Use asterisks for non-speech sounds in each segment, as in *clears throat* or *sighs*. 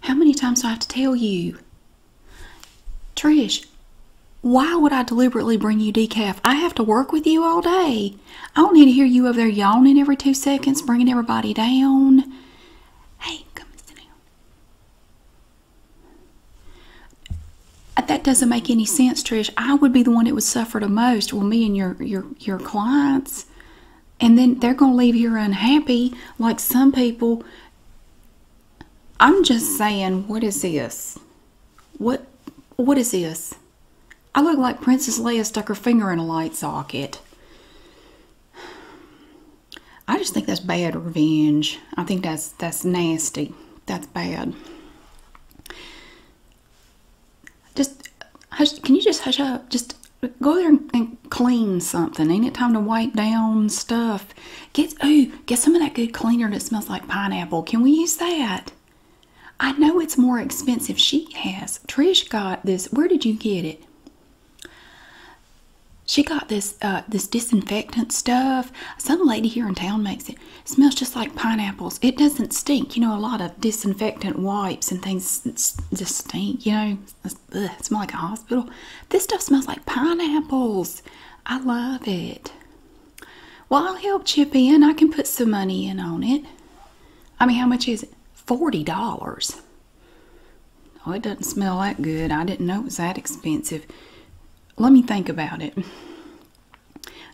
How many times do I have to tell you? Trish, why would I deliberately bring you decaf? I have to work with you all day. I don't need to hear you over there yawning every two seconds, bringing everybody down. Hey, come sit down. That doesn't make any sense, Trish. I would be the one that would suffer the most. Well, me and your your your clients and then they're going to leave you unhappy like some people i'm just saying what is this what what is this i look like princess leia stuck her finger in a light socket i just think that's bad revenge i think that's that's nasty that's bad just hush can you just hush up just go there and clean something. Ain't it time to wipe down stuff? Get oh, get some of that good cleaner that smells like pineapple. Can we use that? I know it's more expensive. She has. Trish got this. Where did you get it? She got this uh, this disinfectant stuff. Some lady here in town makes it. Smells just like pineapples. It doesn't stink. You know, a lot of disinfectant wipes and things just stink. You know, it smell like a hospital. This stuff smells like pineapples. I love it. Well, I'll help chip in. I can put some money in on it. I mean, how much is it? Forty dollars. Oh, it doesn't smell that good. I didn't know it was that expensive. Let me think about it.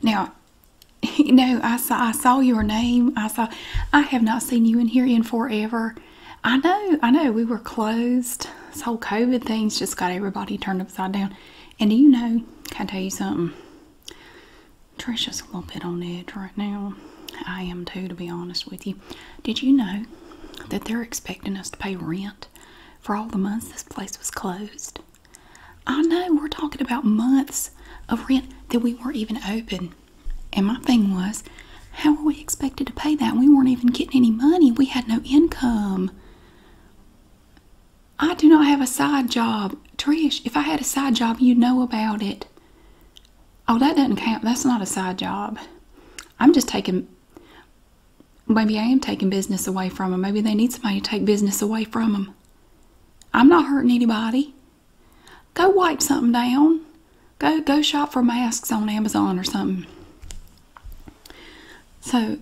Now, *laughs* you know, I saw I saw your name. I saw I have not seen you in here in forever. I know, I know, we were closed. This whole COVID thing's just got everybody turned upside down. And do you know, can I tell you something? Trisha's a little bit on edge right now. I am too, to be honest with you. Did you know that they're expecting us to pay rent for all the months this place was closed? I know, we're talking about months of rent that we weren't even open. And my thing was, how are we expected to pay that? We weren't even getting any money. We had no income. I do not have a side job. Trish, if I had a side job, you'd know about it. Oh, that doesn't count. That's not a side job. I'm just taking, maybe I am taking business away from them. Maybe they need somebody to take business away from them. I'm not hurting anybody. Go wipe something down. Go go shop for masks on Amazon or something. So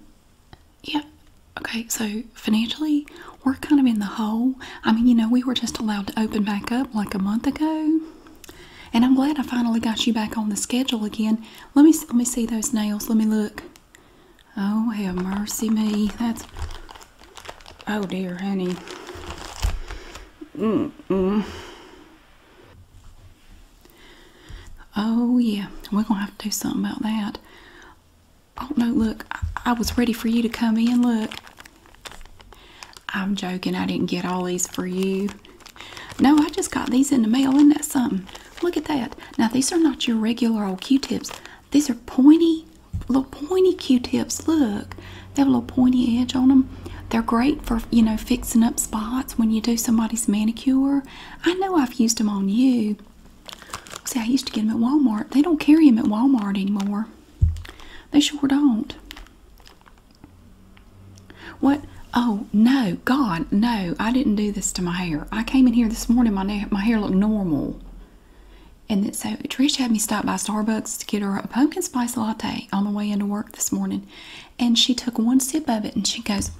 yeah, okay, so financially we're kind of in the hole. I mean, you know, we were just allowed to open back up like a month ago. And I'm glad I finally got you back on the schedule again. Let me let me see those nails. Let me look. Oh, have mercy me. That's Oh dear, honey. Mm Oh yeah, we're gonna have to do something about that. Oh no, look, I, I was ready for you to come in. Look, I'm joking. I didn't get all these for you. No, I just got these in the mail. Isn't that something? Look at that. Now these are not your regular old Q-tips. These are pointy, little pointy Q-tips. Look, they have a little pointy edge on them. They're great for, you know, fixing up spots when you do somebody's manicure. I know I've used them on you. See, I used to get them at Walmart. They don't carry them at Walmart anymore. They sure don't. What? Oh, no. God, no. I didn't do this to my hair. I came in here this morning. My, my hair looked normal. And so Trish had me stop by Starbucks to get her a pumpkin spice latte on the way into work this morning. And she took one sip of it and she goes,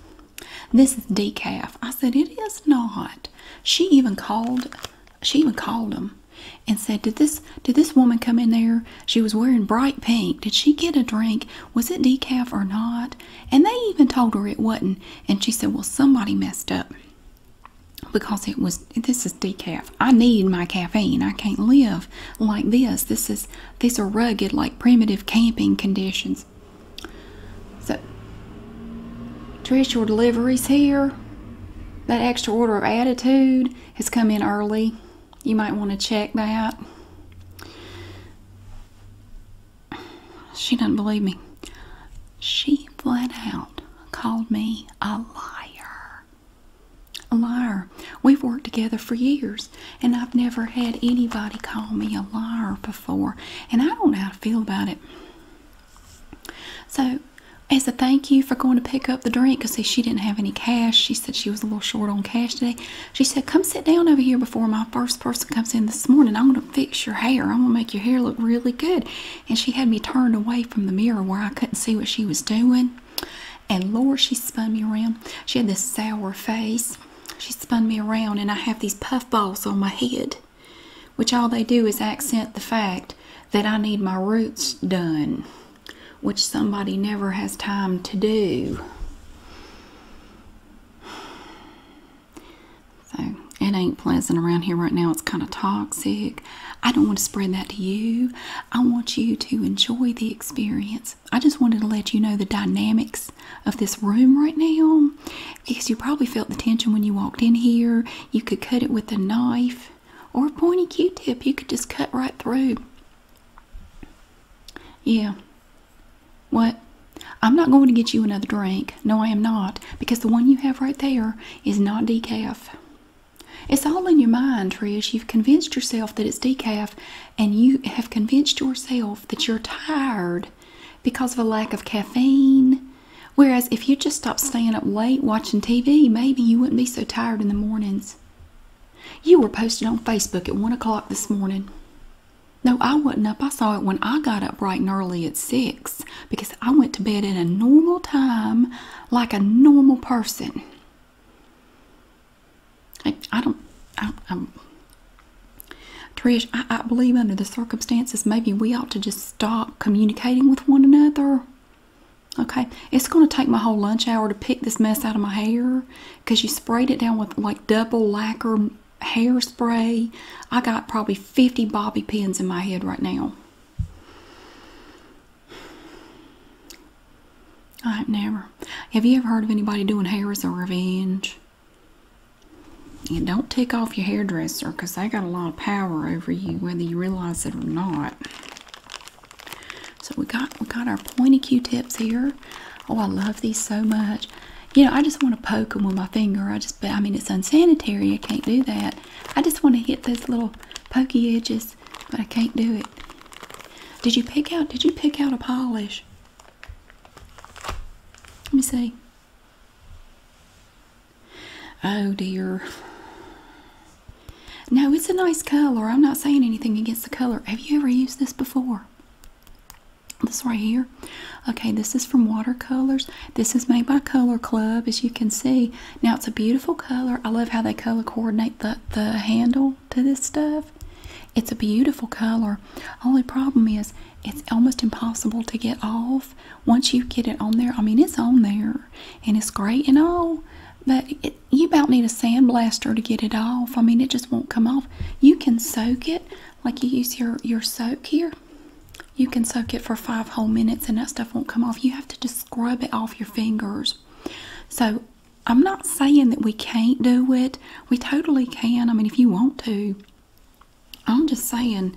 This is decaf. I said, It is not. She even called, she even called them and said, Did this did this woman come in there? She was wearing bright pink. Did she get a drink? Was it decaf or not? And they even told her it wasn't. And she said, Well, somebody messed up because it was this is decaf. I need my caffeine. I can't live like this. This is this are rugged, like primitive camping conditions. So Trish, your delivery's here. That extra order of attitude has come in early. You might want to check that. She doesn't believe me. She flat out called me a liar. A liar. We've worked together for years, and I've never had anybody call me a liar before, and I don't know how to feel about it. So, as a thank you for going to pick up the drink, because she didn't have any cash, she said she was a little short on cash today. She said, Come sit down over here before my first person comes in this morning. I'm going to fix your hair, I'm going to make your hair look really good. And she had me turned away from the mirror where I couldn't see what she was doing. And Lord, she spun me around. She had this sour face. She spun me around, and I have these puff balls on my head, which all they do is accent the fact that I need my roots done, which somebody never has time to do. So it ain't pleasant around here right now. It's kind of toxic. I don't want to spread that to you. I want you to enjoy the experience. I just wanted to let you know the dynamics of this room right now because you probably felt the tension when you walked in here. You could cut it with a knife or a pointy q tip, you could just cut right through. Yeah. What? I'm not going to get you another drink. No, I am not because the one you have right there is not decaf. It's all in your mind, Trish. You've convinced yourself that it's decaf, and you have convinced yourself that you're tired because of a lack of caffeine. Whereas if you just stopped staying up late watching TV, maybe you wouldn't be so tired in the mornings. You were posted on Facebook at 1 o'clock this morning. No, I wasn't up. I saw it when I got up bright and early at 6 because I went to bed at a normal time like a normal person. I, don't, I, am Trish, I, I believe under the circumstances, maybe we ought to just stop communicating with one another. Okay, it's going to take my whole lunch hour to pick this mess out of my hair because you sprayed it down with like double lacquer hairspray. I got probably 50 bobby pins in my head right now. I have never. Have you ever heard of anybody doing hair as a revenge? And don't take off your hairdresser because they got a lot of power over you, whether you realize it or not. So we got we got our pointy Q-tips here. Oh, I love these so much. You know, I just want to poke them with my finger. I just, but I mean, it's unsanitary. I can't do that. I just want to hit those little pokey edges but I can't do it. Did you pick out? Did you pick out a polish? Let me see. Oh dear. No, it's a nice color. I'm not saying anything against the color. Have you ever used this before? This right here. Okay, this is from Watercolors. This is made by Color Club, as you can see. Now it's a beautiful color. I love how they color coordinate the, the handle to this stuff. It's a beautiful color. Only problem is it's almost impossible to get off once you get it on there. I mean, it's on there and it's great and all, but you about need a sandblaster to get it off. I mean, it just won't come off. You can soak it like you use your, your soak here. You can soak it for five whole minutes and that stuff won't come off. You have to just scrub it off your fingers. So I'm not saying that we can't do it. We totally can. I mean, if you want to. I'm just saying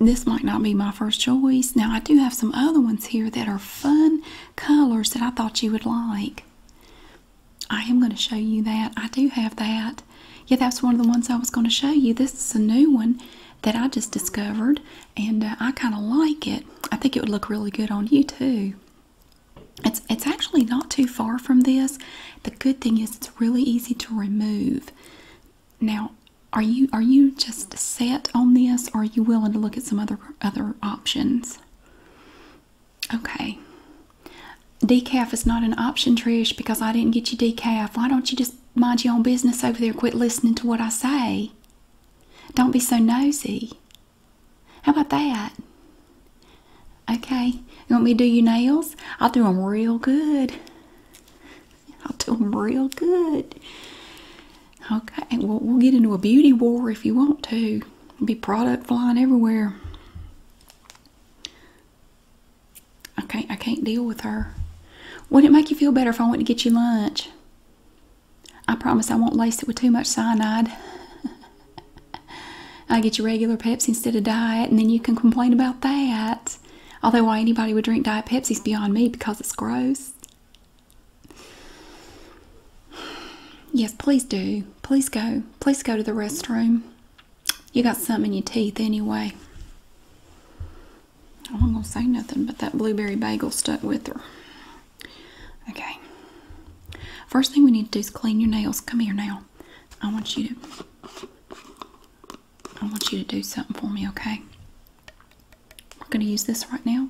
this might not be my first choice. Now, I do have some other ones here that are fun colors that I thought you would like. I am going to show you that. I do have that. Yeah, that's one of the ones I was going to show you. This is a new one that I just discovered, and uh, I kind of like it. I think it would look really good on you too. It's it's actually not too far from this. The good thing is it's really easy to remove. Now, are you are you just set on this, or are you willing to look at some other other options? Okay. Decaf is not an option, Trish, because I didn't get you decaf. Why don't you just mind your own business over there? Quit listening to what I say. Don't be so nosy. How about that? Okay, you want me to do your nails? I'll do them real good. I'll do them real good. Okay, well, we'll get into a beauty war if you want to. be product flying everywhere. I can't, I can't deal with her. Would it make you feel better if I went to get you lunch? I promise I won't lace it with too much cyanide. *laughs* I get you regular Pepsi instead of diet, and then you can complain about that. Although, why anybody would drink Diet Pepsi is beyond me because it's gross. Yes, please do. Please go. Please go to the restroom. You got something in your teeth anyway. I'm gonna say nothing, but that blueberry bagel stuck with her. Okay. First thing we need to do is clean your nails. Come here now. I want you to I want you to do something for me, okay? We're gonna use this right now.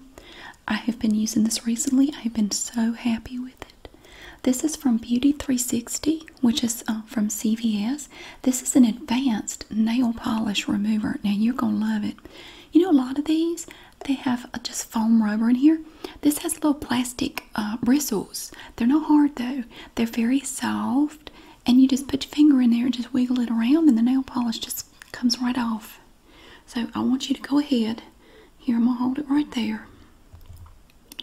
I have been using this recently. I have been so happy with it. This is from Beauty 360, which is uh, from CVS. This is an advanced nail polish remover. Now you're gonna love it. You know, a lot of these they have uh, just foam rubber in here. This has little plastic uh, bristles. They're not hard though. They're very soft, and you just put your finger in there and just wiggle it around, and the nail polish just comes right off. So I want you to go ahead. Here I'm gonna hold it right there.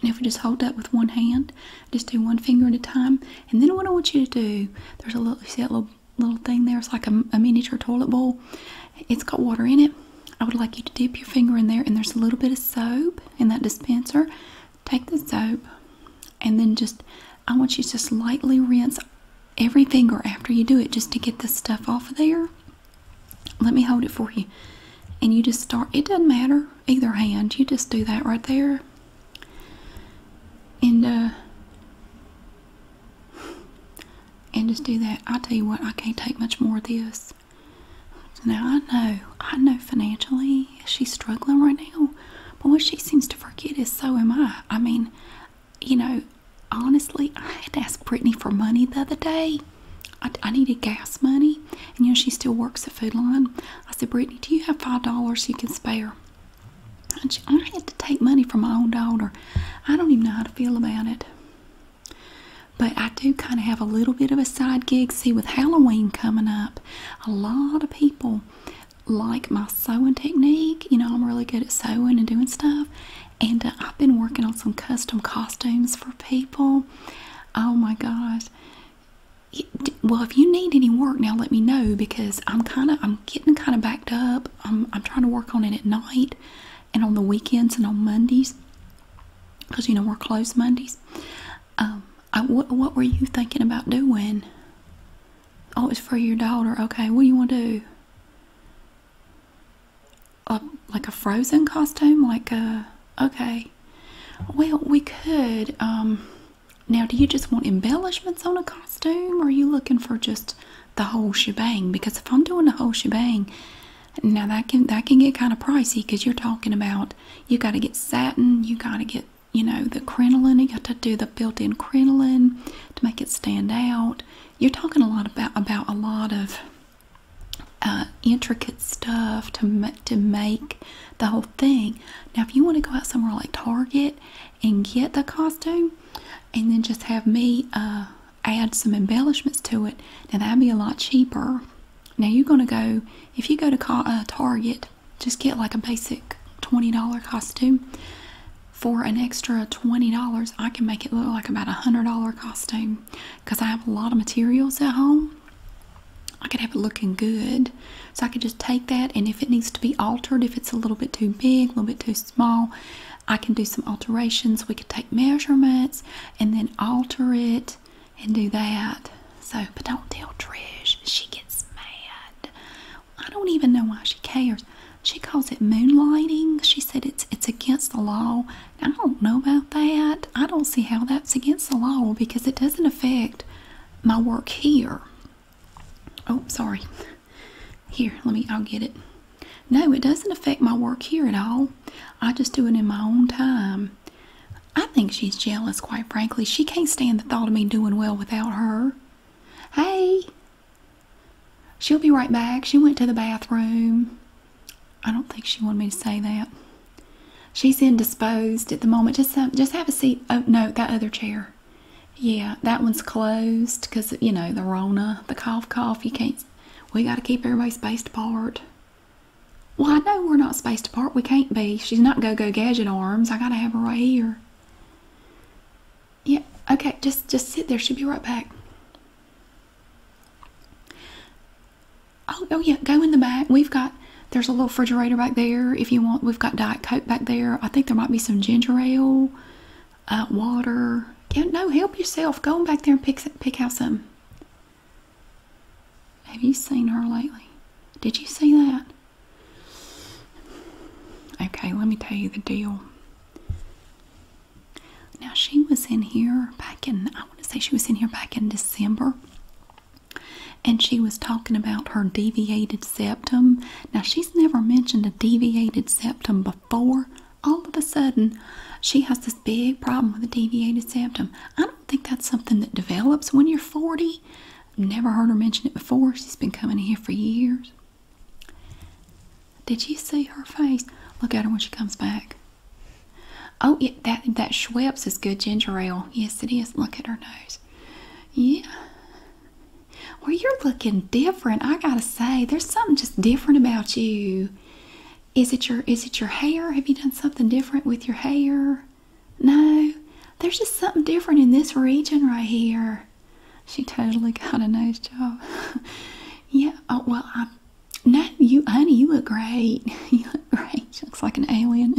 And if we just hold that with one hand, just do one finger at a time. And then what I want you to do, there's a little, see that little little thing there. It's like a, miniature toilet bowl. It's got water in it. I would like you to dip your finger in there, and there's a little bit of soap in that dispenser. Take the soap, and then just I want you to just lightly rinse every finger after you do it just to get the stuff off of there. Let me hold it for you. And you just start, it doesn't matter either hand, you just do that right there. And uh, and just do that. I tell you what, I can't take much more of this. Now I know, I know financially she's struggling right now, but what she seems to forget is so am I. I mean, you know, honestly, I had to ask Brittany for money the other day. I, needed gas money, and you know, she still works the Food Line. I said, Brittany, do you have five dollars you can spare? I had to take money from my own daughter. I don't even know how to feel about it. But I do kind of have a little bit of a side gig. See, with Halloween coming up, a lot of people like my sewing technique. You know, I'm really good at sewing and doing stuff. And uh, I've been working on some custom costumes for people. Oh my gosh. Well, if you need any work now, let me know because I'm kind of I'm getting kind of backed up. I'm, trying to work on it at night and on the weekends and on Mondays because you know we're closed Mondays. Um, what, were you thinking about doing? Oh, it's for your daughter. Okay, what do you want to do? Uh, like a frozen costume? Like a. Uh, okay. Well, we could. Um, now, do you just want embellishments on a costume, or are you looking for just the whole shebang? Because if I'm doing the whole shebang, now that can that can get kind of pricey because you're talking about you got to get satin, you got to get you know the crinoline, you got to do the built-in crinoline to make it stand out. You're talking a lot about about a lot of uh, intricate stuff to to make the whole thing. Now, if you want to go out somewhere like Target and get the costume, and then just have me uh, add some embellishments to it. Now that'd be a lot cheaper. Now you're gonna go if you go to uh, Target, just get like a basic $20 costume. For an extra $20, I can make it look like about a $100 costume because I have a lot of materials at home. I could have it looking good. So I could just take that and if it needs to be altered, if it's a little bit too big, a little bit too small, I can do some alterations. We could take measurements and then alter it and do that. So, but don't tell Trish. She gets mad. I don't even know why she cares. She calls it moonlighting. She said it's it's against the law. I don't know about that. I don't see how that's against the law because it doesn't affect my work here. Oh, sorry. Here, let me, I'll get it. No, it doesn't affect my work here at all. I just do it in my own time. I think she's jealous, quite frankly. She can't stand the thought of me doing well without her. Hey! She'll be right back. She went to the bathroom. I don't think she wanted me to say that. She's indisposed at the moment. Just, have, just have a seat. Oh, no, that other chair. Yeah, that one's closed because, you know, the Rona, the cough, cough. You can't, we got to keep everybody spaced apart. Well, I know we're not spaced apart. We can't be. She's not go go gadget arms. I got to have her right here. Yeah, okay, just, just sit there. She'll be right back. Oh, oh yeah, go in the back. We've got, there's a little refrigerator back there if you want. We've got Diet Coke back there. I think there might be some ginger ale uh, water. Yeah, no, help yourself. Go on back there and pick pick out some. Have you seen her lately? Did you see that? Okay, let me tell you the deal. Now she was in here back in I want to say she was in here back in December and she was talking about her deviated septum. Now, she's never mentioned a deviated septum before. All of a sudden, she has this big problem with a deviated septum. I don't think that's something that develops when you're 40. Never heard her mention it before. She's been coming here for years. Did you see her face? Look at her when she comes back. Oh, yeah, that that Schweppes is good ginger ale. Yes, it is. Look at her nose. Yeah, well, you're looking different. I gotta say, there's something just different about you. Is it your is it your hair? Have you done something different with your hair? No. There's just something different in this region right here. She totally got a nice job. *laughs* yeah. Oh well. I no, you honey, you look great. *laughs* you look great. She looks like an alien.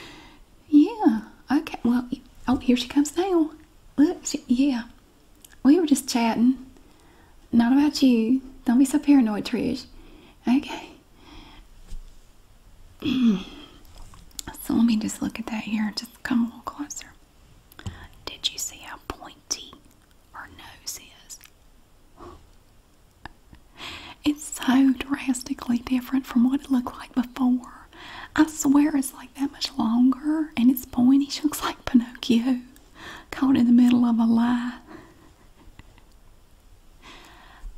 *laughs* yeah. Okay. Well. Oh, here she comes now. Whoops, yeah. We were just chatting. Not about you. Don't be so paranoid, Trish. Okay. *clears throat* so let me just look at that here. Just come a little closer. Did you see how pointy her nose is? It's so drastically different from what it looked like before. I swear it's like that much longer and it's pointy. She looks like Pinocchio caught in the middle of a lie.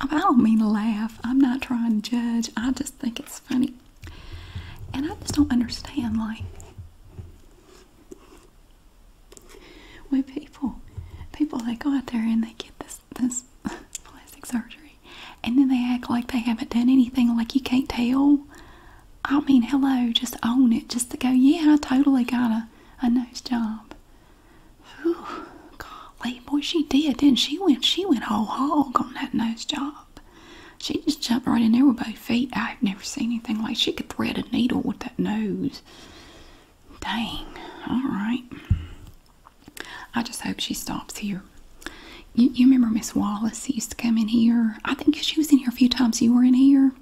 I don't mean to laugh. I'm not trying to judge. I just think it's funny. And I just don't understand, like, when people, people, they go out there and they get this, this plastic surgery and then they act like they haven't done anything, like you can't tell. I mean, hello, just own it. Just to go, yeah, I totally got a, a nose job. Whew, golly, boy, she did, Then she? Went, she went all hog on that nose job. She just jumped right in there with both feet. I've never seen anything like she could thread a needle with that nose. Dang. All right. I just hope she stops here you, remember Miss Wallace used to come in here. I think she was in here a few times. You were in here.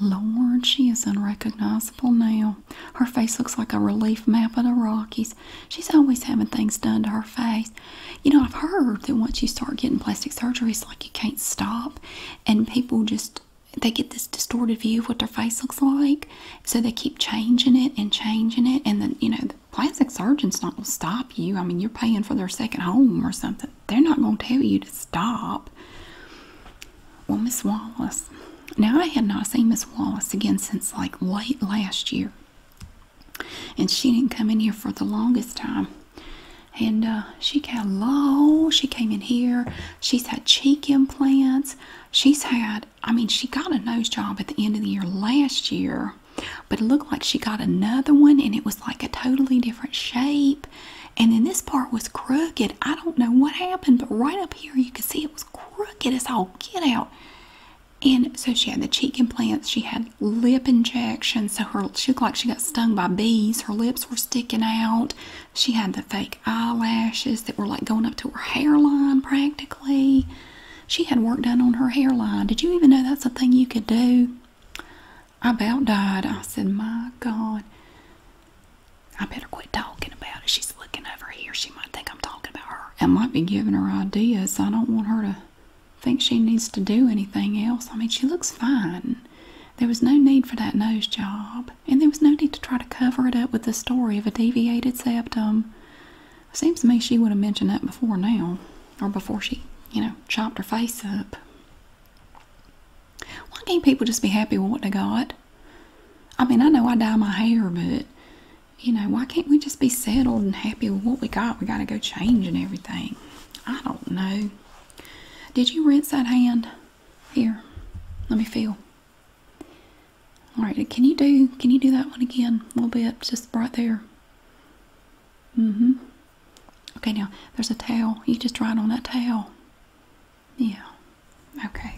Lord, she is unrecognizable now. Her face looks like a relief map of the Rockies. She's always having things done to her face. You know, I've heard that once you start getting plastic surgery, it's like you can't stop, and people just they get this distorted view of what their face looks like, so they keep changing it and changing it, and then you know, Plastic surgeon's not going to stop you. I mean, you're paying for their second home or something. They're not going to tell you to stop. Well, Miss Wallace. Now, I had not seen Miss Wallace again since like late last year. And she didn't come in here for the longest time. And uh, she got low. She came in here. She's had cheek implants. She's had, I mean, she got a nose job at the end of the year last year. But it looked like she got another one and it was like a totally different shape. And then this part was crooked. I don't know what happened, but right up here you can see it was crooked as all get out. And so she had the cheek implants, she had lip injections, so her she looked like she got stung by bees, her lips were sticking out, she had the fake eyelashes that were like going up to her hairline practically. She had work done on her hairline. Did you even know that's a thing you could do? I about died. I said, My God, I better quit talking about it. She's looking over here. She might think I'm talking about her. I might be giving her ideas. I don't want her to think she needs to do anything else. I mean, she looks fine. There was no need for that nose job, and there was no need to try to cover it up with the story of a deviated septum. Seems to me she would have mentioned that before now, or before she, you know, chopped her face up. Why can't people just be happy with what they got? I mean, I know I dye my hair, but you know, why can't we just be settled and happy with what we got? We got to go change and everything. I don't know. Did you rinse that hand? Here, let me feel. All right, can you do? Can you do that one again? A little bit, just right there hmm Okay, now there's a tail. You just write on that tail. Yeah. Okay.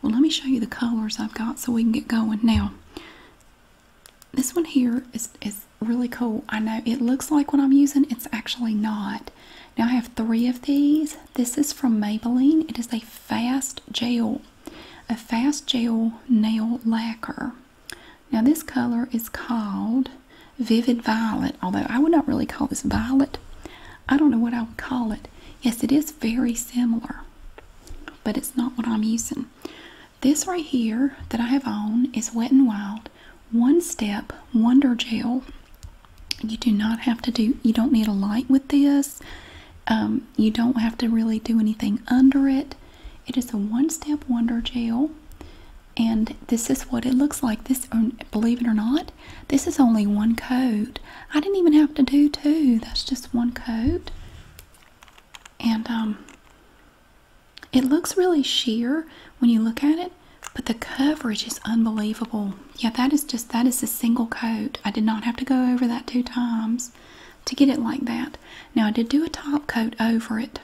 Well, let me show you the colors I've got so we can get going. Now, this one here is, is really cool. I know it looks like what I'm using. It's actually not. Now, I have three of these. This is from Maybelline. It is a fast gel. A fast gel nail lacquer. Now this color is called Vivid Violet, although I would not really call this violet. I don't know what I would call it. Yes, it is very similar, but it's not what I'm using. This right here that I have on is Wet n Wild One Step Wonder Gel. You do not have to do, you don't need a light with this. Um, you don't have to really do anything under it. It is a one-step wonder gel, and this is what it looks like. This, um, believe it or not, this is only one coat. I didn't even have to do two. That's just one coat, and um, it looks really sheer when you look at it. But the coverage is unbelievable. Yeah, that is just that is a single coat. I did not have to go over that two times to get it like that. Now I did do a top coat over it,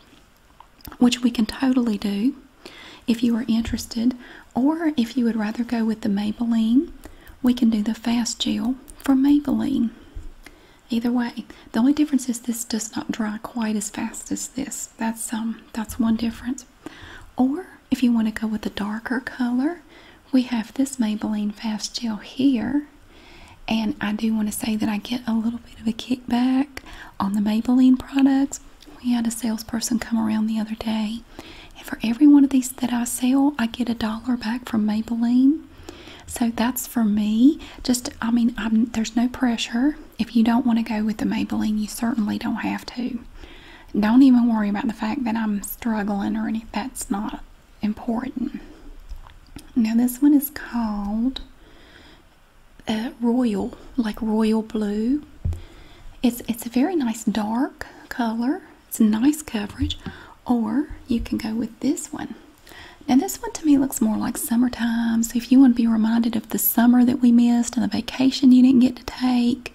which we can totally do if you are interested, or if you would rather go with the Maybelline, we can do the Fast Gel from Maybelline. Either way, the only difference is this does not dry quite as fast as this. That's um that's one difference. Or if you want to go with a darker color, we have this Maybelline Fast Gel here and I do want to say that I get a little bit of a kickback on the Maybelline products. We had a salesperson come around the other day, and for every one of these that I sell, I get a dollar back from Maybelline. So that's for me. Just, I mean, I'm, there's no pressure. If you don't want to go with the Maybelline, you certainly don't have to. Don't even worry about the fact that I'm struggling or anything. That's not important. Now, this one is called uh, Royal, like Royal Blue. It's, it's a very nice dark color. It's nice coverage. Or you can go with this one. Now, this one to me looks more like summertime. So, if you want to be reminded of the summer that we missed and the vacation you didn't get to take,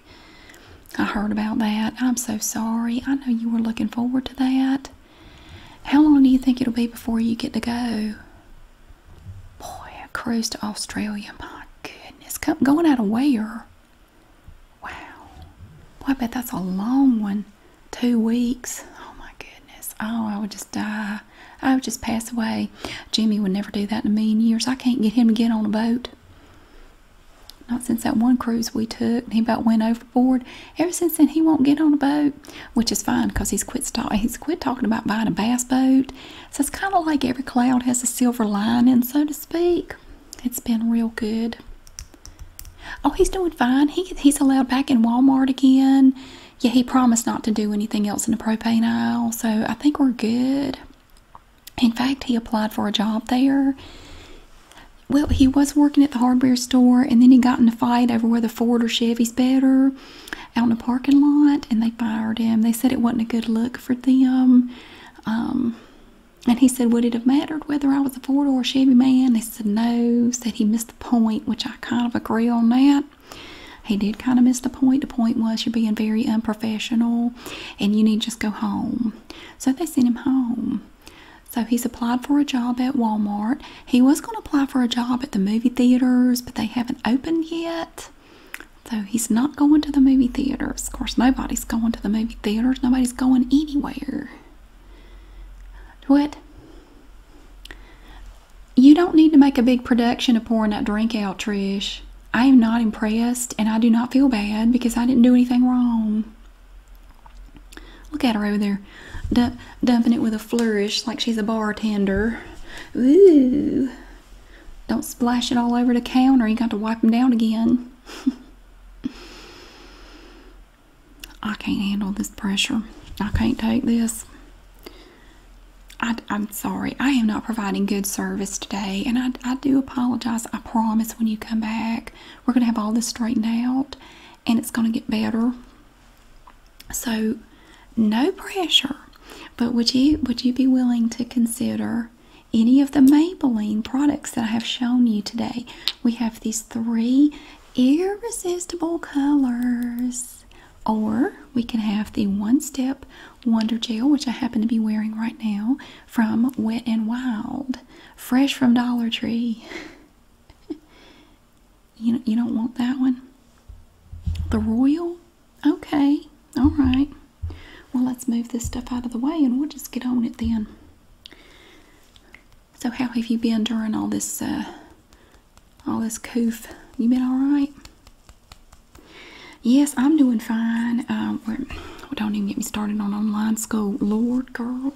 I heard about that. I'm so sorry. I know you were looking forward to that. How long do you think it'll be before you get to go? Boy, a cruise to Australia. My goodness. going out of where? Wow. Boy, I bet that's a long one. Two weeks. Oh, my goodness. Oh, I would just die. I would just pass away. Jimmy would never do that in a million years. I can't get him to get on a boat. Not since that one cruise we took. He about went overboard. Ever since then, he won't get on a boat, which is fine because he's quit talking. He's quit talking about buying a bass boat. So it's kind of like every cloud has a silver lining, so to speak. It's been real good. Oh, he's doing fine. He he's allowed back in Walmart again. Yeah, he promised not to do anything else in the propane aisle, so I think we're good. In fact, he applied for a job there well, he was working at the hardware store, and then he got in a fight over whether Ford or Chevy's better out in the parking lot, and they fired him. They said it wasn't a good look for them. Um, and he said, Would it have mattered whether I was a Ford or a Chevy man? They said, No, said he missed the point, which I kind of agree on that. He did kind of miss the point. The point was you're being very unprofessional and you need to just go home. So they sent him home. So he's applied for a job at Walmart. He was going to apply for a job at the movie theaters, but they haven't opened yet. So he's not going to the movie theaters. Of course, nobody's going to the movie theaters. Nobody's going anywhere. What? You don't need to make a big production of pouring that drink out, Trish. I am not impressed and I do not feel bad because I didn't do anything wrong. Look at her over there dumping it with a flourish like she's a bartender. Ooh. Don't splash it all over the counter. You got to wipe them down again. *laughs* I can't handle this pressure. I can't take this. I, am sorry. I am not providing good service today. And I do apologize. I promise when you come back, we're going to have all this straightened out and it's going to get better. So, no pressure. But would you would you be willing to consider any of the Maybelline products that I have shown you today? We have these three irresistible colors. Or we can have the One Step Wonder Gel, which I happen to be wearing right now, from Wet and Wild, fresh from Dollar Tree. *laughs* *laughs* you you don't want that one. The royal? Okay. All right. Well, let's move this stuff out of the way and we'll just get on it then. So, how have you been during all this uh, all this coof? You been all right? Yes, I'm doing fine. Um, well, don't even get me started on online school. Lord, girl,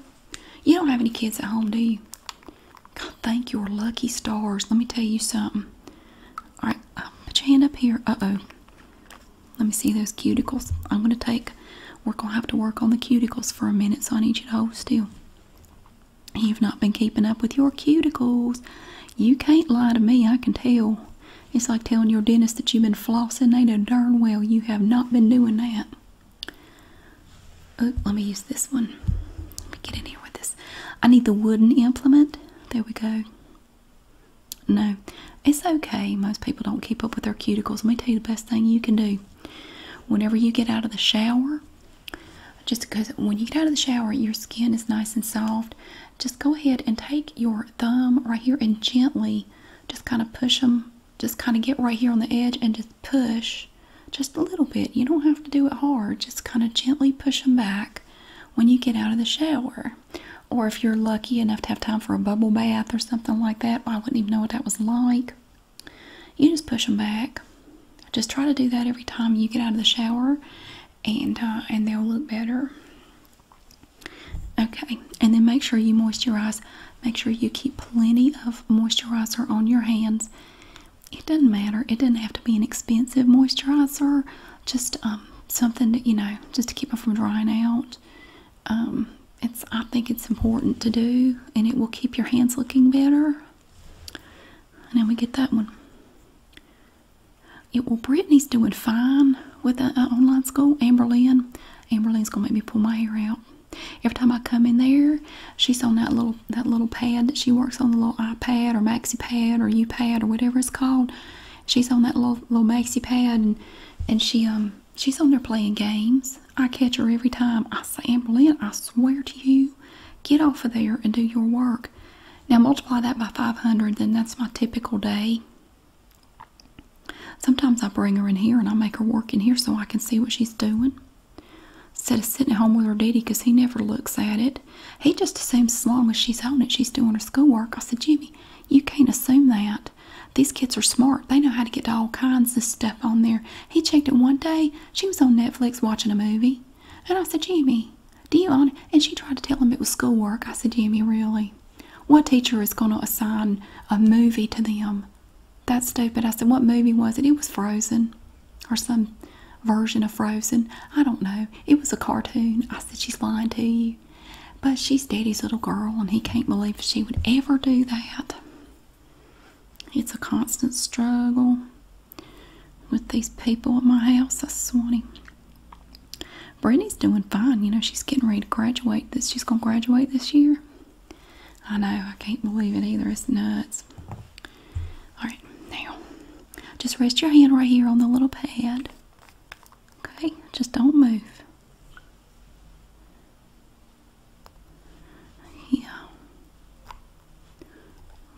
you don't have any kids at home, do you? God, thank your lucky stars. Let me tell you something. All right, uh, put your hand up here. Uh-oh. Let me see those cuticles. I'm going to take, we're going to have to work on the cuticles for a minute, so I need you to hold still. You've not been keeping up with your cuticles. You can't lie to me, I can tell. It's like telling your dentist that you've been flossing. They a darn well you have not been doing that. Oh, let me use this one. Let me get in here with this. I need the wooden implement. There we go. No, it's okay. Most people don't keep up with their cuticles. Let me tell you the best thing you can do. Whenever you get out of the shower, just because when you get out of the shower, your skin is nice and soft, just go ahead and take your thumb right here and gently just kind of push them just kind of get right here on the edge and just push just a little bit. You don't have to do it hard, just kind of gently push them back when you get out of the shower. Or if you're lucky enough to have time for a bubble bath or something like that, I wouldn't even know what that was like. You just push them back. Just try to do that every time you get out of the shower, and uh, and they'll look better. Okay, and then make sure you moisturize Make sure you keep plenty of moisturizer on your hands. It doesn't matter. It doesn't have to be an expensive moisturizer. Just um, something that you know, just to keep them from drying out. Um, it's I think it's important to do, and it will keep your hands looking better. And we get that one. It, well, Brittany's doing fine with the uh, uh, online school. Amberlynn, Amberlynn's gonna make me pull my hair out. Every time I come in there, she's on that little that little pad that she works on, the little iPad or maxi pad or U pad or whatever it's called. She's on that little little maxi pad and and she um she's on there playing games. I catch her every time. I say, Amberlynn, I swear to you, get off of there and do your work. Now multiply that by 500, then that's my typical day. Sometimes I bring her in here and I make her work in here so I can see what she's doing. Instead of sitting at home with her daddy because he never looks at it. He just assumes as long as she's on it, she's doing her schoolwork. I said, Jimmy, you can't assume that. These kids are smart. They know how to get to all kinds of stuff on there. He checked it one day. She was on Netflix watching a movie. And I said, Jimmy, do you on And she tried to tell him it was schoolwork. I said, Jimmy, really? What teacher is going to assign a movie to them? that's stupid. I said, What movie was it? It was Frozen or some version of Frozen. I don't know. It was a cartoon. I said, She's lying to you. But she's daddy's little girl, and he can't believe she would ever do that. It's a constant struggle with these people at my house. I swear to him. Brittany's doing fine. You know, she's getting ready to graduate. This she's gonna graduate this year. I know, I can't believe it either. It's nuts. Alright, now just rest your hand right here on the little pad. Okay, just don't move. Yeah.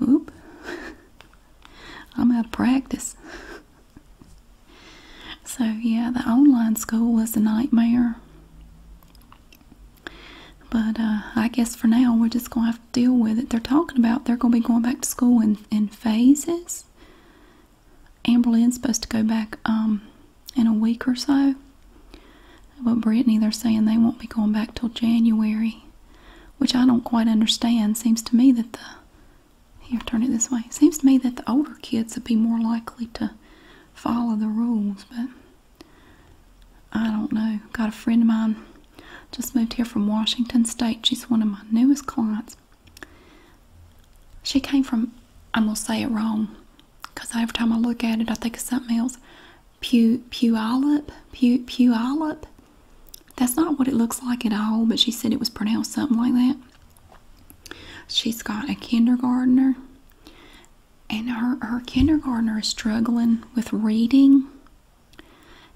Oop. *laughs* I'm out of practice. *laughs* so, yeah, the online school was a nightmare. But uh, I guess for now we're just gonna have to deal with it. They're talking about they're gonna be going back to school in in phases. Amberlynn's supposed to go back um in a week or so. But Brittany, they're saying they won't be going back till January, which I don't quite understand. Seems to me that the here turn it this way. Seems to me that the older kids would be more likely to follow the rules, but I don't know. Got a friend of mine just moved here from Washington State. She's one of my newest clients. She came from, I'm going to say it wrong because every time I look at it, I think of something else. Pew, pew, Pu pew, Pu Puyallup? That's not what it looks like at all, but she said it was pronounced something like that. She's got a kindergartner and her, her kindergartner is struggling with reading.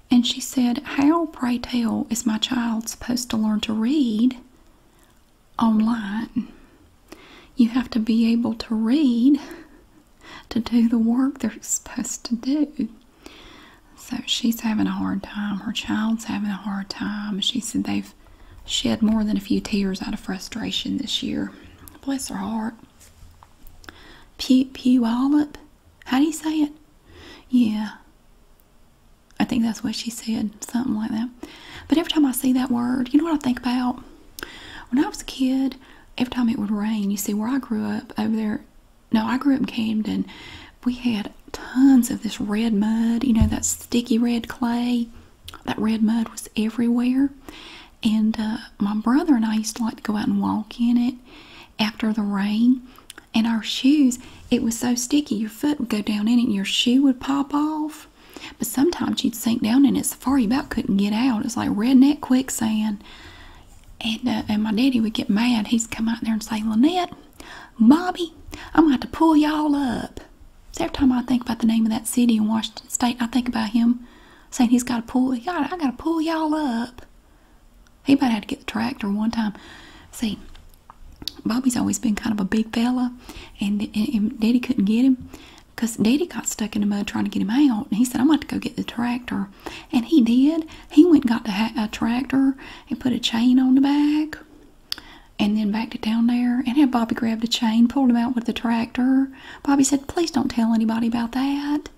And she said, How, pray tell, is my child supposed to learn to read online? You have to be able to read to do the work they're supposed to do. So she's having a hard time. Her child's having a hard time. She said they've shed more than a few tears out of frustration this year. Bless her heart. Pew Pew Olive? How do you say it? Yeah. I think that's what she said, something like that. But every time I see that word, you know what I think about? When I was a kid, every time it would rain, you see where I grew up over there. No, I grew up in Camden. We had tons of this red mud, you know, that sticky red clay that red mud was everywhere. And uh, my brother and I used to like to go out and walk in it after the rain. And our shoes, it was so sticky, your foot would go down in it and your shoe would pop off. But sometimes you'd sink down in it so far you about couldn't get out. It's like redneck quicksand. And, uh, and my daddy would get mad. He'd come out there and say, Lynette, Bobby, I'm going to pull y'all up. So every time I think about the name of that city in Washington State, I think about him saying he's got to pull, I got to pull y'all up. He might have to get the tractor one time. See, Bobby's always been kind of a big fella, and, Daddy couldn't get him, 'cause Daddy got stuck in the mud trying to get him out. And he said, I'm going to go get the tractor. And he did. He went got the tractor and put a chain on the back and then backed it down there and had Bobby grab the chain, pulled him out with the tractor. Bobby said, Please don't tell anybody about that.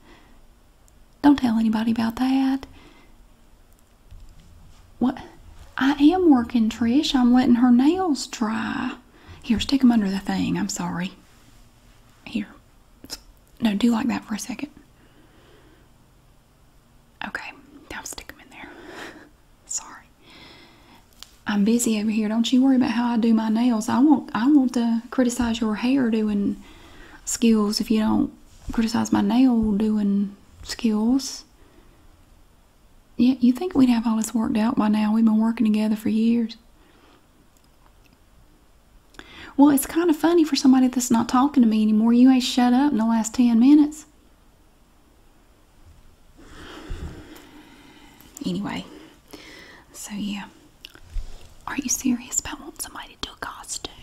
Don't tell anybody about that. What? I am working, Trish. I'm letting her nails dry. Here, stick them under the thing. I'm sorry. Here. No, do like that for a second. Okay, now stick them in there. *laughs* sorry. I'm busy over here. Don't you worry about how I do my nails. I won't I won't uh, criticize your hair doing skills if you don't criticize my nail doing skills. Yeah, you think we'd have all this worked out by now. We've been working together for years. Well, it's kind of funny for somebody that's not talking to me anymore. You ain't shut up in the last 10 minutes. Anyway, so yeah. Are you serious about wanting somebody to do a costume?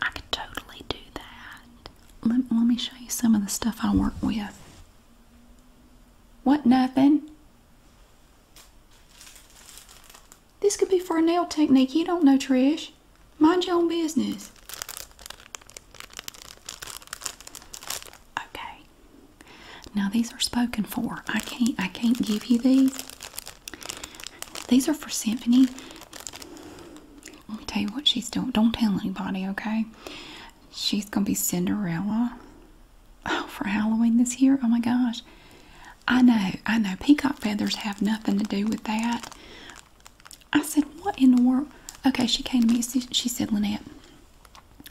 I could totally do that. Let, me show you some of the stuff I work with. What, nothing? This could be for a nail technique. You don't know, Trish. Mind your own business. Okay, now these are spoken for. I can't I can't give you these. These are for Symphony. Let me tell you what she's doing. Don't tell anybody, okay? She's gonna be Cinderella. Oh, for Halloween this year. Oh my gosh. I know, I know. Peacock feathers have nothing to do with that. I said, what in the world? Okay, she came to me. She said, Lynette,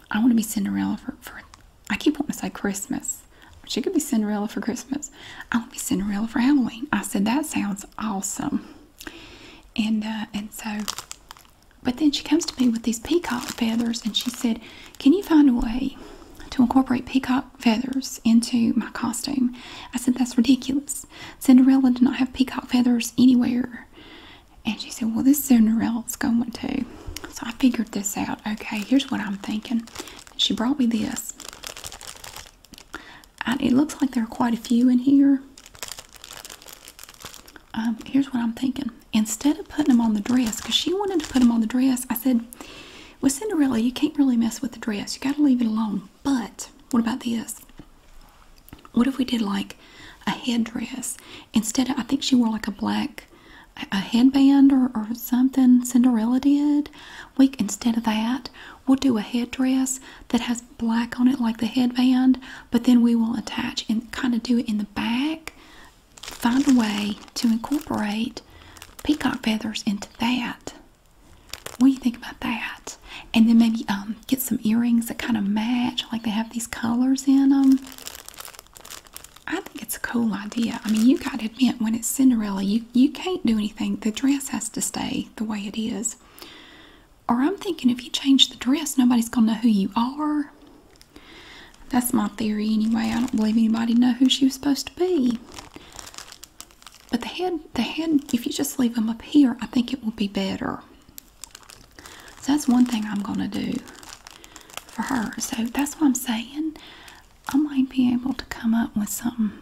I want to be Cinderella for, I keep wanting to say Christmas. She could be Cinderella for Christmas. I want to be Cinderella for Halloween. I said that sounds awesome. And uh, and so but then she comes to me with these peacock feathers and she said, Can you find a way to incorporate peacock feathers into my costume? I said, That's ridiculous. Cinderella did not have peacock feathers anywhere. And she said, Well, this Cinderella's going to. So I figured this out. Okay, here's what I'm thinking. She brought me this. it looks like there are quite a few in here. Um, here's what I'm thinking. Instead of putting them on the dress, because she wanted to put them on the dress, I said, with Cinderella, you can't really mess with the dress. You got to leave it alone. But what about this? What if we did like a headdress instead I think she wore like a black a headband or, or something. Cinderella did. We instead of that, we'll do a headdress that has black on it, like the headband. But then we will attach and kind of do it in the back. Find a way to incorporate peacock feathers into that. What do you think about that? And then maybe um, get some earrings that kind of match like they have these colors in them. I think it's a cool idea. I mean, you got to admit, when it's Cinderella, you, you can't do anything. The dress has to stay the way it is. Or I'm thinking if you change the dress, nobody's going to know who you are. That's my theory anyway. I don't believe anybody know who she was supposed to be. But the head, the head, if you just leave them up here, I think it will be better. So that's one thing I'm gonna do for her. So that's what I'm saying. I might be able to come up with something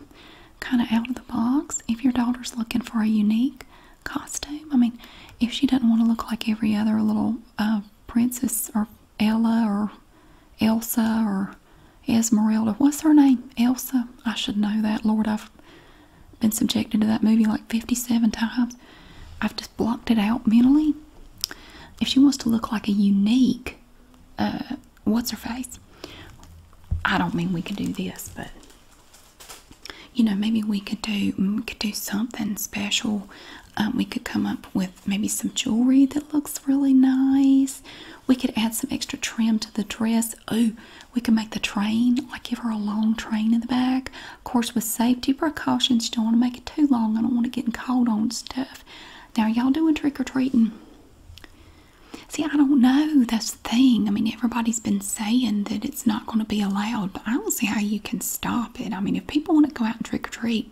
kind of out of the box if your daughter's looking for a unique costume. I mean, if she doesn't want to look like every other little uh, princess or Ella or Elsa or Esmeralda. What's her name? Elsa? I should know that. Lord, I've been subjected to that movie like 57 times. I've just blocked it out mentally. If she wants to look like a unique, uh, what's her face? I don't mean we could do this, but you know, maybe we could do mm, we could do something special. Um, we could come up with maybe some jewelry that looks really nice. We could add some extra trim to the dress. Oh, we could make the train I give her a long train in the back. Of course, with safety precautions, you don't want to make it too long. I don't want to get cold on stuff. Now, y'all doing trick or treating? See, I don't know. That's the thing. I mean, everybody's been saying that it's not going to be allowed, but I don't see how you can stop it. I mean, if people want to go out and trick or treat,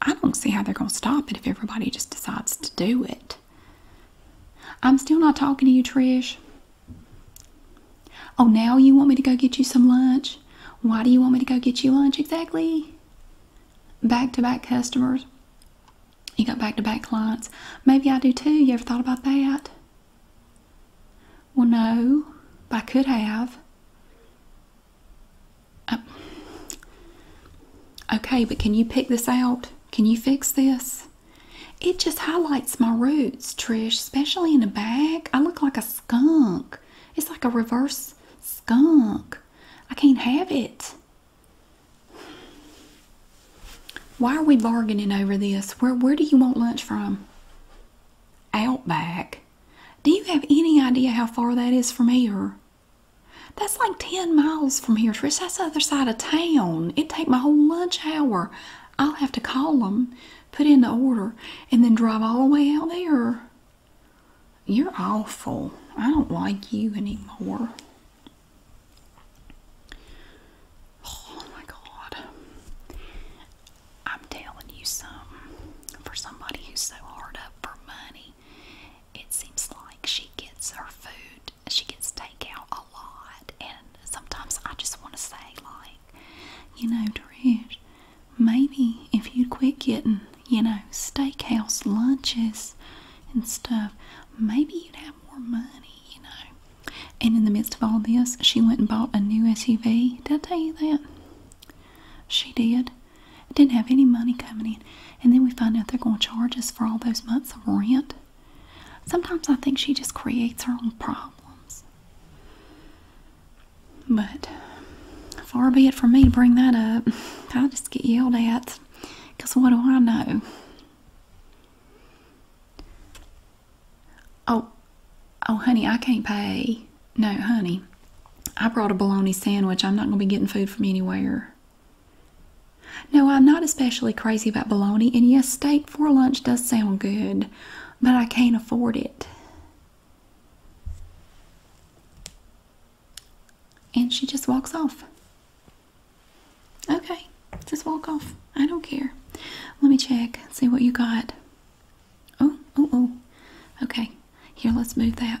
I don't see how they're going to stop it if everybody just decides to do it. I'm still not talking to you, Trish. Oh, now you want me to go get you some lunch? Why do you want me to go get you lunch exactly? Back to back customers. You got back to back clients. Maybe I do too. You ever thought about that? Well, no, but I could have. Uh, okay, but can you pick this out? Can you fix this? It just highlights my roots, Trish, especially in the back. I look like a skunk. It's like a reverse skunk. I can't have it. Why are we bargaining over this? Where where do you want lunch from? Outback. Do you have any idea how far that is from here? That's like 10 miles from here, Trish. That's the other side of town. It'd take my whole lunch hour. I'll have to call them, put in the order, and then drive all the way out there. You're awful. I don't like you anymore. Oh my God. I'm telling you something. For somebody who's so hard up for money, it seems like she gets her food, she gets takeout a lot. And sometimes I just want to say, like, you know, Dredge, maybe if you'd quit getting, you know, steakhouse lunches and stuff, maybe you'd have more money, you know. And in the midst of all this, she went and bought a new SUV. Did I tell you that? She did. Didn't have any money coming in. And then we find out they're going to charge us for all those months of rent. Sometimes I think she just creates her own problems. But far be it from me to bring that up. I just get yelled at because what do I know? Oh, oh, honey, I can't pay. No, honey, I brought a bologna sandwich. I'm not going to be getting food from anywhere. No, I'm not especially crazy about bologna, and yes, steak for lunch does sound good but I can't afford it. And she just walks off. Okay, just walk off. I don't care. Let me check, see what you got. Oh, oh, oh. Okay, here, let's move that.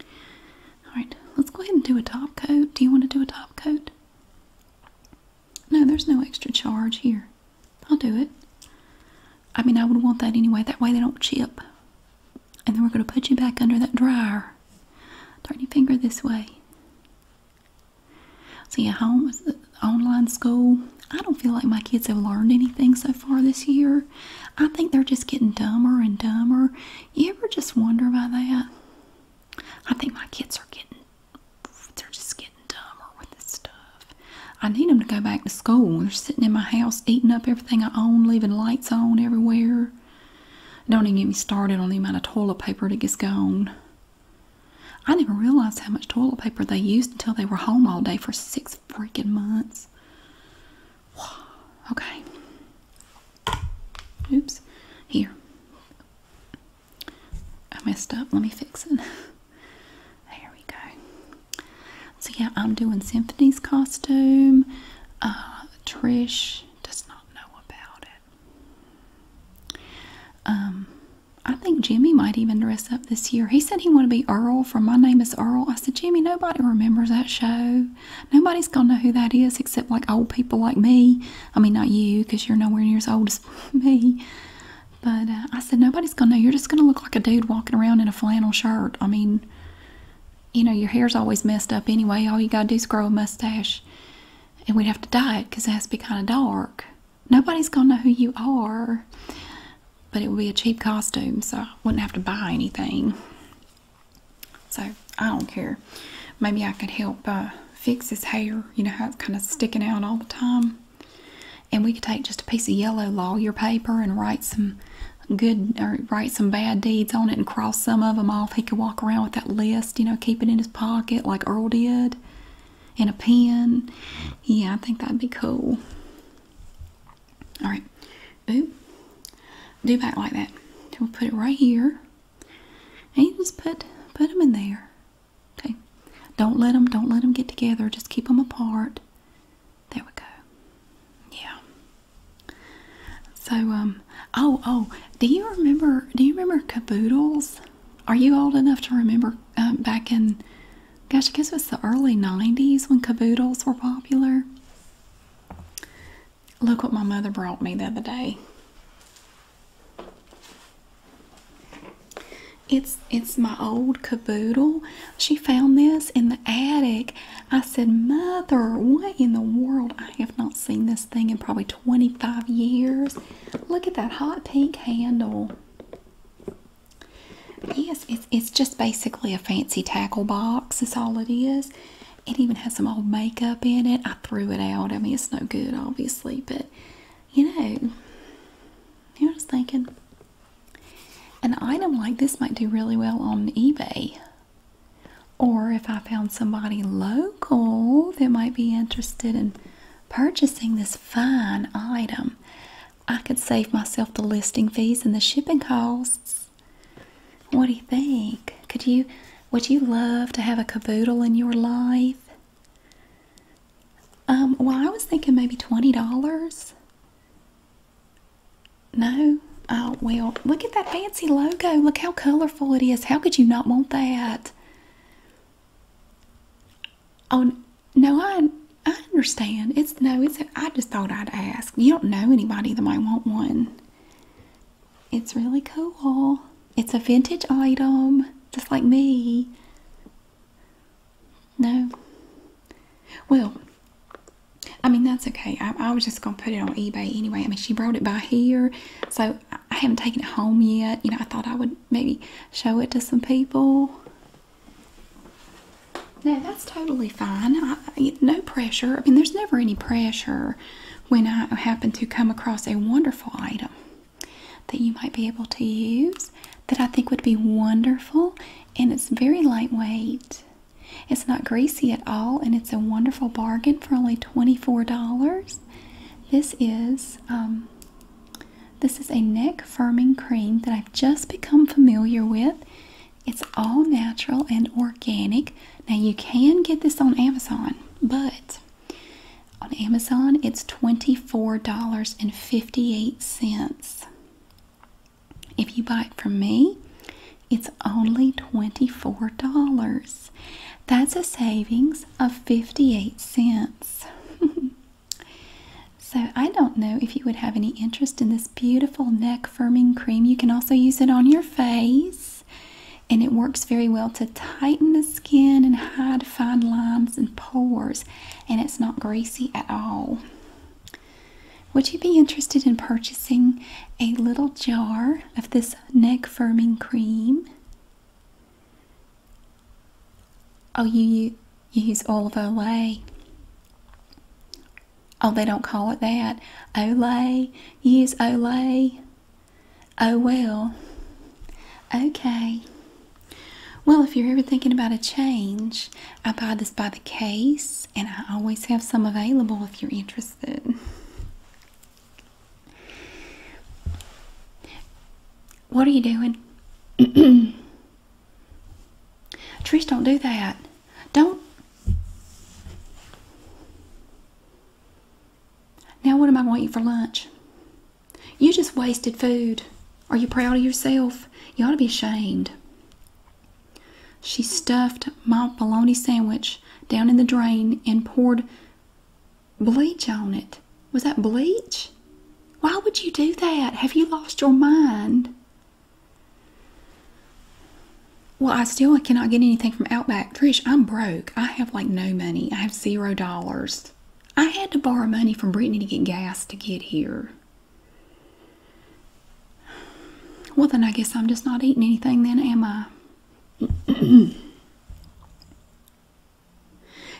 All right, let's go ahead and do a top coat. Do you want to do a top coat? No, there's no extra charge here. I'll do it. I mean, I would want that anyway. That way they don't chip. And then we're going to put you back under that dryer. Turn your finger this way. See, at home, online school, I don't feel like my kids have learned anything so far this year. I think they're just getting dumber and dumber. You ever just wonder about that? I think my kids are getting they're just getting dumber with this stuff. I need them to go back to school. They're sitting in my house eating up everything I own, leaving lights on everywhere. Don't even get me started on the amount of toilet paper that gets gone. I never realized how much toilet paper they used until they were home all day for six freaking months. Okay. Oops. Here. I messed up. Let me fix it. there we go. So yeah, I'm doing Symphony's costume. Uh, Trish does not know about it. Um, I think Jimmy might even dress up this year. He said he wanted to be Earl from My Name Is Earl. I said, Jimmy, nobody remembers that show. Nobody's gonna know who that is except like old people like me. I mean, not you, because you're nowhere near as old as *laughs* me. But uh, I said, nobody's going to know. You're just going to look like a dude walking around in a flannel shirt. I mean, you know, your hair's always messed up anyway. All you got to do is grow a mustache. And we'd have to dye it because it has to be kind of dark. Nobody's going to know who you are. But it would be a cheap costume, so I wouldn't have to buy anything. So I don't care. Maybe I could help uh, fix his hair. You know how it's kind of sticking out all the time. And we could take just a piece of yellow lawyer paper and write some good or write some bad deeds on it and cross some of them off. He could walk around with that list, you know, keep it in his pocket like Earl did, and a pen. Yeah, I think that'd be cool. All right. Ooh. Do back like that. So we'll put it right here. And you just put put them in there. Okay. Don't let them don't let them get together. Just keep them apart. There we go. Yeah. So um oh oh do you remember do you remember caboodles? Are you old enough to remember um, back in gosh I guess it was the early nineties when caboodles were popular? Look what my mother brought me the other day. It's it's my old caboodle. She found this in the attic. I said, Mother, what in the world? I have not seen this thing in probably 25 years. Look at that hot pink handle. Yes, it's it's just basically a fancy tackle box, is all it is. It even has some old makeup in it threw it out. I mean, it's no good, obviously, but you know, I was thinking an item like this might do really well on eBay. Or if I found somebody local that might be interested in purchasing this fine item, I could save myself the listing fees and the shipping costs. What do you think? Could you would you love to have a cavoodle in your life? Um, well, I was thinking maybe $20. No? Oh, well, look at that fancy logo. Look how colorful it is. How could you not want that? Oh, no, I I understand. It's no, it's I just thought I'd ask. You don't know anybody that might want one. It's really cool. It's a vintage item, just like me. No. Well, I mean, that's okay. I, was just going to put it on eBay anyway. I mean, she brought it by here, so I haven't taken it home yet. You know, I thought I would maybe show it to some people. No, that's totally fine. no pressure. I mean, there's never any pressure when I happen to come across a wonderful item that you might be able to use that I think would be wonderful and it's very lightweight. It's not greasy at all and it's a wonderful bargain for only $24. This is um, this is a neck firming cream that I've just become familiar with. It's all natural and organic. Now you can get this on Amazon, but on Amazon, it's $24.58. If you buy it from me, it's only $24. That's a savings of 58 cents. *laughs* so I don't know if you would have any interest in this beautiful neck firming cream. You can also use it on your face and it works very well to tighten the skin and hide fine lines and pores and it's not greasy at all would you be interested in purchasing a little jar of this neck firming cream oh you, use olive olay oh they don't call it that olay use olay Oh, well. Okay. Well, if you're ever thinking about a change, I buy this by the case, and I always have some available if you're interested. What are you doing? *clears throat* Trish, don't do that. Don't. Now, what am I going to eat for lunch? You just wasted food. Are you proud of yourself? You ought to be ashamed. She stuffed my bologna sandwich down in the drain and poured bleach on it. Was that bleach? Why would you do that? Have you lost your mind? Well, I still cannot get anything from Outback. Trish, I'm broke. I have like no money. I have zero dollars. I had to borrow money from Brittany to get gas to get here. Well, then I guess I'm just not eating anything, then, am I? *clears throat*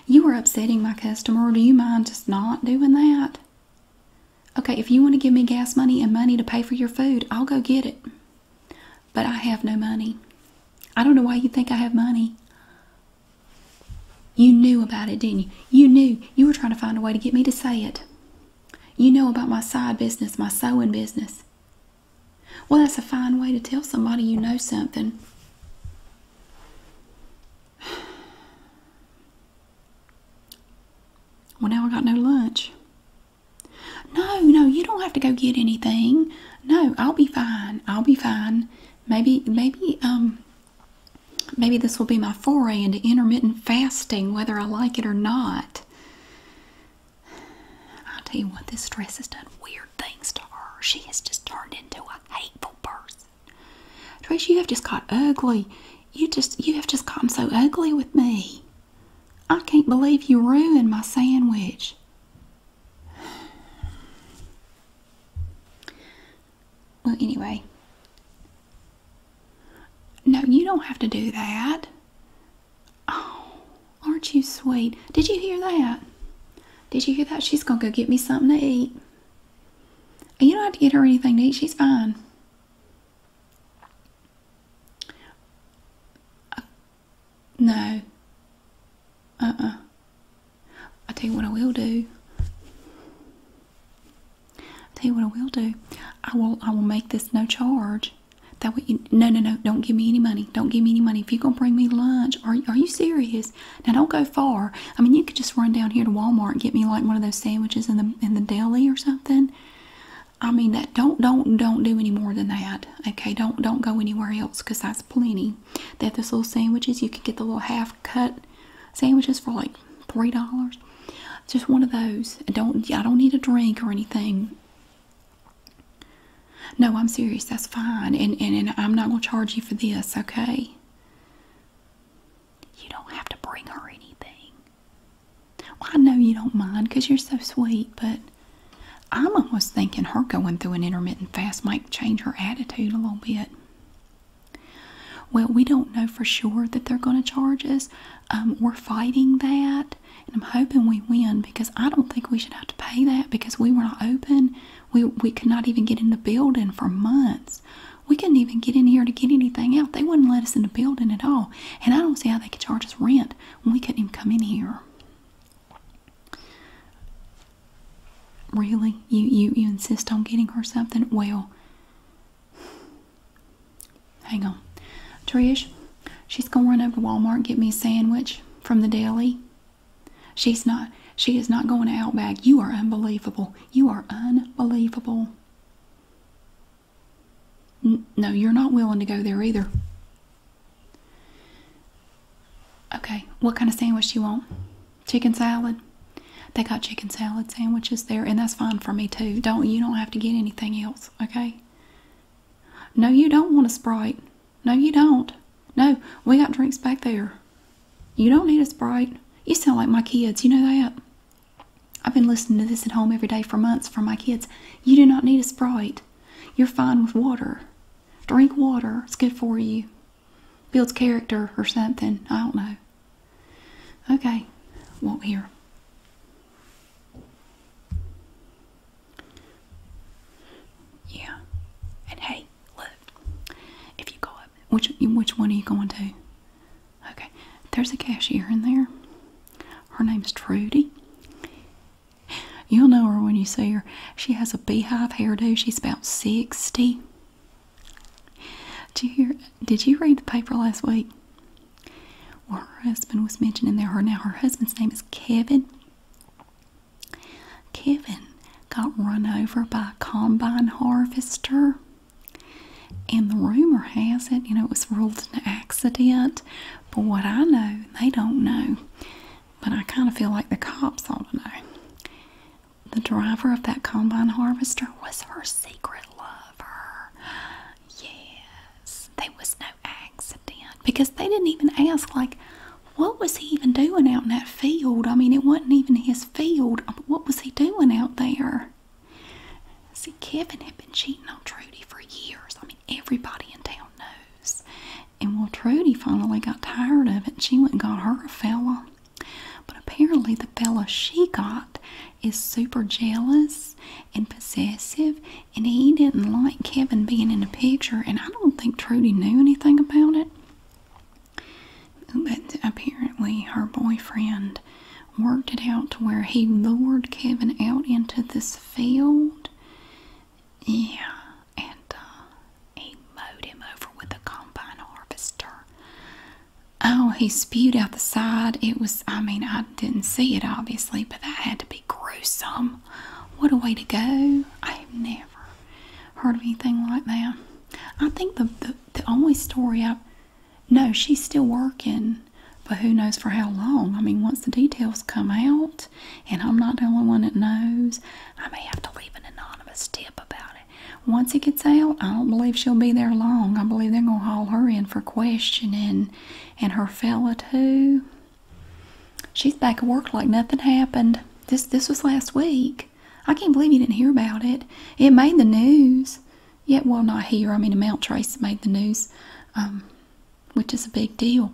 you are upsetting my customer. Do you mind just not doing that? Okay, if you want to give me gas money and money to pay for your food, I'll go get it. But I have no money. I don't know why you think I have money. You knew about it, didn't you? You knew. You were trying to find a way to get me to say it. You know about my side business, my sewing business. Well, that's a fine way to tell somebody you know something. *sighs* Well, now I got no lunch. No, no, you don't have to go get anything. No, I'll be fine. I'll be fine. Maybe, maybe, um, maybe this will be my foray into intermittent fasting, whether I like it or not. I'll tell you what, this stress has done weird things to her. She has just turned into a hateful person. Trace, you have just got ugly. You just, you have just gotten so ugly with me. I can't believe you ruined my sandwich. Well, anyway. No, you don't have to do that. Oh, aren't you sweet? Did you hear that? Did you hear that? She's going to go get me something to eat. You don't have to get her anything to eat. She's fine. No. Uh uh. I tell you what I will do. I tell you what I will do. I will I will make this no charge. That way, no, no, no! Don't give me any money. Don't give me any money. If you're gonna bring me lunch, are are you serious? Now don't go far. I mean, you could just run down here to Walmart and get me like one of those sandwiches in the in the deli or something. I mean, that don't don't don't do any more than that. Okay, don't don't go anywhere else because that's plenty. They have those little sandwiches. You could get the little half cut sandwiches for like three dollars. Just one of those. I don't I don't need a drink or anything. No, I'm serious. That's fine, and and, and I'm not gonna charge you for this. Okay. You don't have to bring her anything. Well, I know you don't mind because you're so sweet, but I'm almost thinking her going through an intermittent fast might change her attitude a little bit. Well, we don't know for sure that they're going to charge us. Um, we're fighting that, and I'm hoping we win because I don't think we should have to pay that because we were not open. We, we could not even get in the building for months. We couldn't even get in here to get anything out. They wouldn't let us in the building at all. And I don't see how they could charge us rent when we couldn't even come in here. Really? You, you, you insist on getting her something? Well, hang on. Trish, she's going to run over to Walmart get me a sandwich from the deli. She's not, she is not going out back. You are unbelievable. You are unbelievable. no, you're not willing to go there either. Okay, what kind of sandwich do you want? Chicken salad? They got chicken salad sandwiches there, and that's fine for me too. Don't you don't have to get anything else, okay? No, you don't want a Sprite. No, you don't. No, we got drinks back there. You don't need a Sprite. You sound like my kids, you know that? I've been listening to this at home every day for months for my kids. You do not need a Sprite. You're fine with water. Drink water, it's good for you. Builds character or something. I don't know. Okay, walk here. Yeah. And hey, look. If you go up, which which one are you going to? Okay. There's a cashier in there. Her name's Trudy. You'll know her when you see her. She has a beehive hairdo. She's about 60. Did you hear? Did you read the paper last week? Well, her husband was mentioned in there. Her now her husband's name is Kevin. Kevin got run over by a combine harvester. And the rumor has it, you know, it was ruled an accident. But what I know, they don't know but I kind of feel like the cops ought to know. The driver of that combine harvester was her secret lover. Yes, there was no accident because they didn't even ask, like, what was he even doing out in that field? I mean, it wasn't even his field. Um, what was he doing out there? See, Kevin had been cheating on Trudy for years. I mean, everybody in town knows. And well, Trudy finally got tired of it. She went and got her a fella. But apparently, the fella she got is super jealous and possessive, and he didn't like Kevin being in the picture. And I don't think Trudy knew anything about it. But apparently, her boyfriend worked it out to where he lured Kevin out into this field yeah, and uh, he mowed him over with a combine harvester. Oh, he spewed out the side. It was, I mean, I didn't see it obviously, but that had to be gruesome. What a way to go. I've never heard of anything like that. I think the, the, the only story I, no, she's still working, but who knows for how long. I mean, once the details come out, and I'm not the only one that knows. I may have to leave an anonymous tip about it. Once it gets out, I don't believe she'll be there long. I believe they're going to haul her in for questioning and her fella, too. She's back at work like nothing happened. This, this was last week. I can't believe you didn't hear about it. It made the news. Yet, yeah, well, not here. I mean, the Mount Trace made the news. Um, which is a big deal.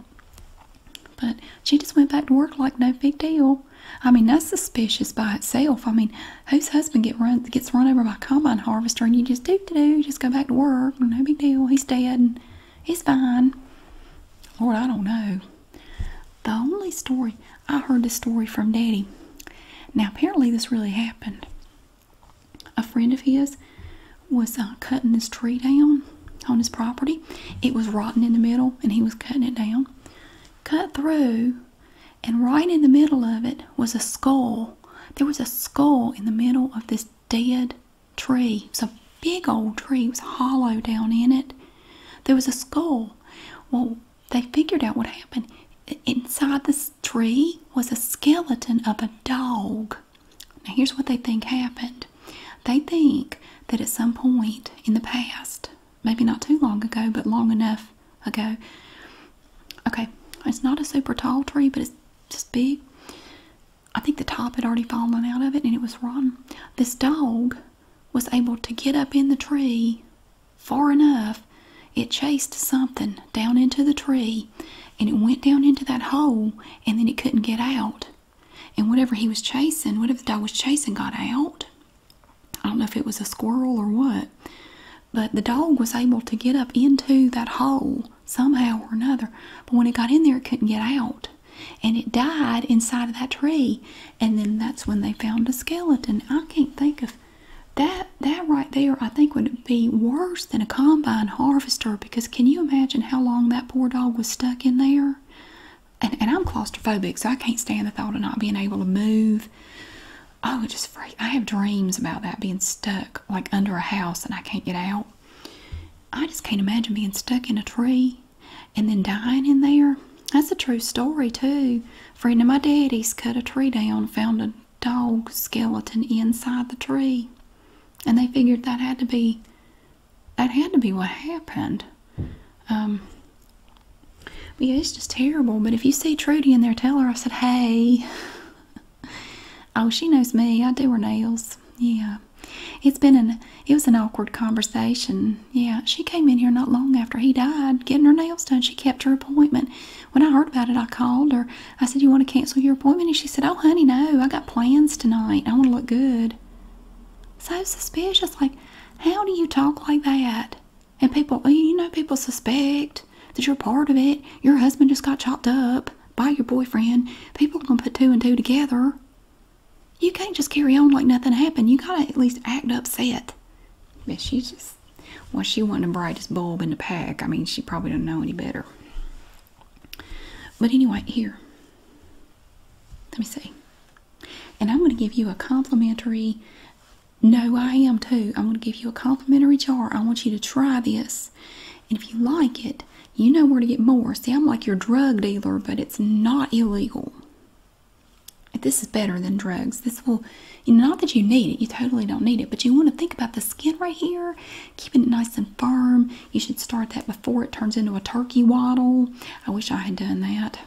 But she just went back to work like no big deal. I mean, that's suspicious by itself. I mean, whose husband get run gets run over by a combine harvester, and you just do to do, just go back to work, no big deal. He's dead, and he's fine. Lord, I don't know. The only story I heard the story from Daddy. Now, apparently, this really happened. A friend of his was uh, cutting this tree down on his property. It was rotten in the middle, and he was cutting it down. Cut through, and right in the middle of it was a skull. There was a skull in the middle of this dead tree. It was a big old tree. It was hollow down in it. There was a skull. Well, they figured out what happened. Inside this tree was a skeleton of a dog. Now, here's what they think happened they think that at some point in the past, maybe not too long ago, but long enough ago, okay, it's not a super tall tree, but it's just big. I think the top had already fallen out of it and it was rotten. This dog was able to get up in the tree far enough. It chased something down into the tree and it went down into that hole and then it couldn't get out. And whatever he was chasing, whatever the dog was chasing, got out. I don't know if it was a squirrel or what, but the dog was able to get up into that hole somehow or another. But when it got in there, it couldn't get out. And it died inside of that tree. And then that's when they found a skeleton. I can't think of that that right there I think would be worse than a combine harvester because can you imagine how long that poor dog was stuck in there? And, I'm claustrophobic, so I can't stand the thought of not being able to move. Oh, it just freak. I have dreams about that being stuck like under a house and I can't get out. I just can't imagine being stuck in a tree and then dying in there. That's a true story, too. A friend of my daddy's cut a tree down and found a dog skeleton inside the tree. And they figured that had to be that had to be what happened. Um, yeah, it's just terrible. But if you see Trudy in there, tell her I said, hey. *laughs* oh, she knows me. I do her nails. Yeah. It's been an, it was an awkward conversation. Yeah, she came in here not long after he died, getting her nails done. She kept her appointment. When I heard about it, I called her. I said, you want to cancel your appointment? And she said, oh, honey, no. I got plans tonight. I want to look good. So suspicious. Like, how do you talk like that? And people, you know, people suspect that you're part of it. Your husband just got chopped up by your boyfriend. People are going to put two and two together. You can't just carry on like nothing happened. You got to at least act upset. But she just, well, she wasn't the brightest bulb in the pack. I mean, she probably do not know any better. But anyway, here. Let me see. And I'm going to give you a complimentary. No, I am too. I'm going to give you a complimentary jar. I want you to try this. And if you like it, you know where to get more. See, I'm like your drug dealer, but it's not illegal. This is better than drugs. This will, not that you need it, you totally don't need it, but you want to think about the skin right here, keeping it nice and firm. You should start that before it turns into a turkey waddle. I wish I had done that.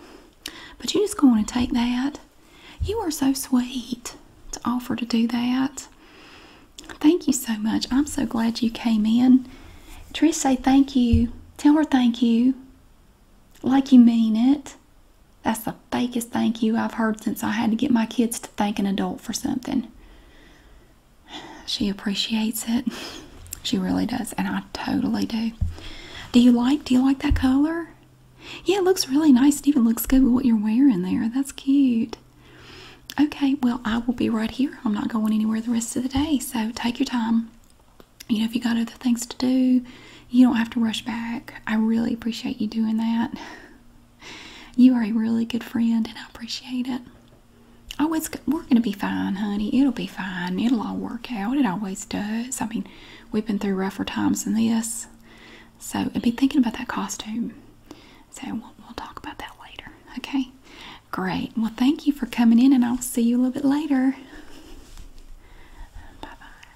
But you just go on and take that. You are so sweet to offer to do that. Thank you so much. I'm so glad you came in. Trish, say thank you. Tell her thank you. Like you mean it. That's the fakest thank you I've heard since I had to get my kids to thank an adult for something. She appreciates it. She really does, and I totally do. Do you like do you like that color? Yeah, it looks really nice. It even looks good with what you're wearing there. That's cute. Okay, well, I will be right here. I'm not going anywhere the rest of the day, so take your time. You know, if you got other things to do, you don't have to rush back. I really appreciate you doing that. You are a really good friend, and I appreciate it. Oh, it's we're gonna be fine, honey. It'll be fine. It'll all work out. It always does. I mean, we've been through rougher times than this, so I'd be thinking about that costume. So we'll, we'll talk about that later. Okay, great. Well, thank you for coming in, and I'll see you a little bit later. bye bye.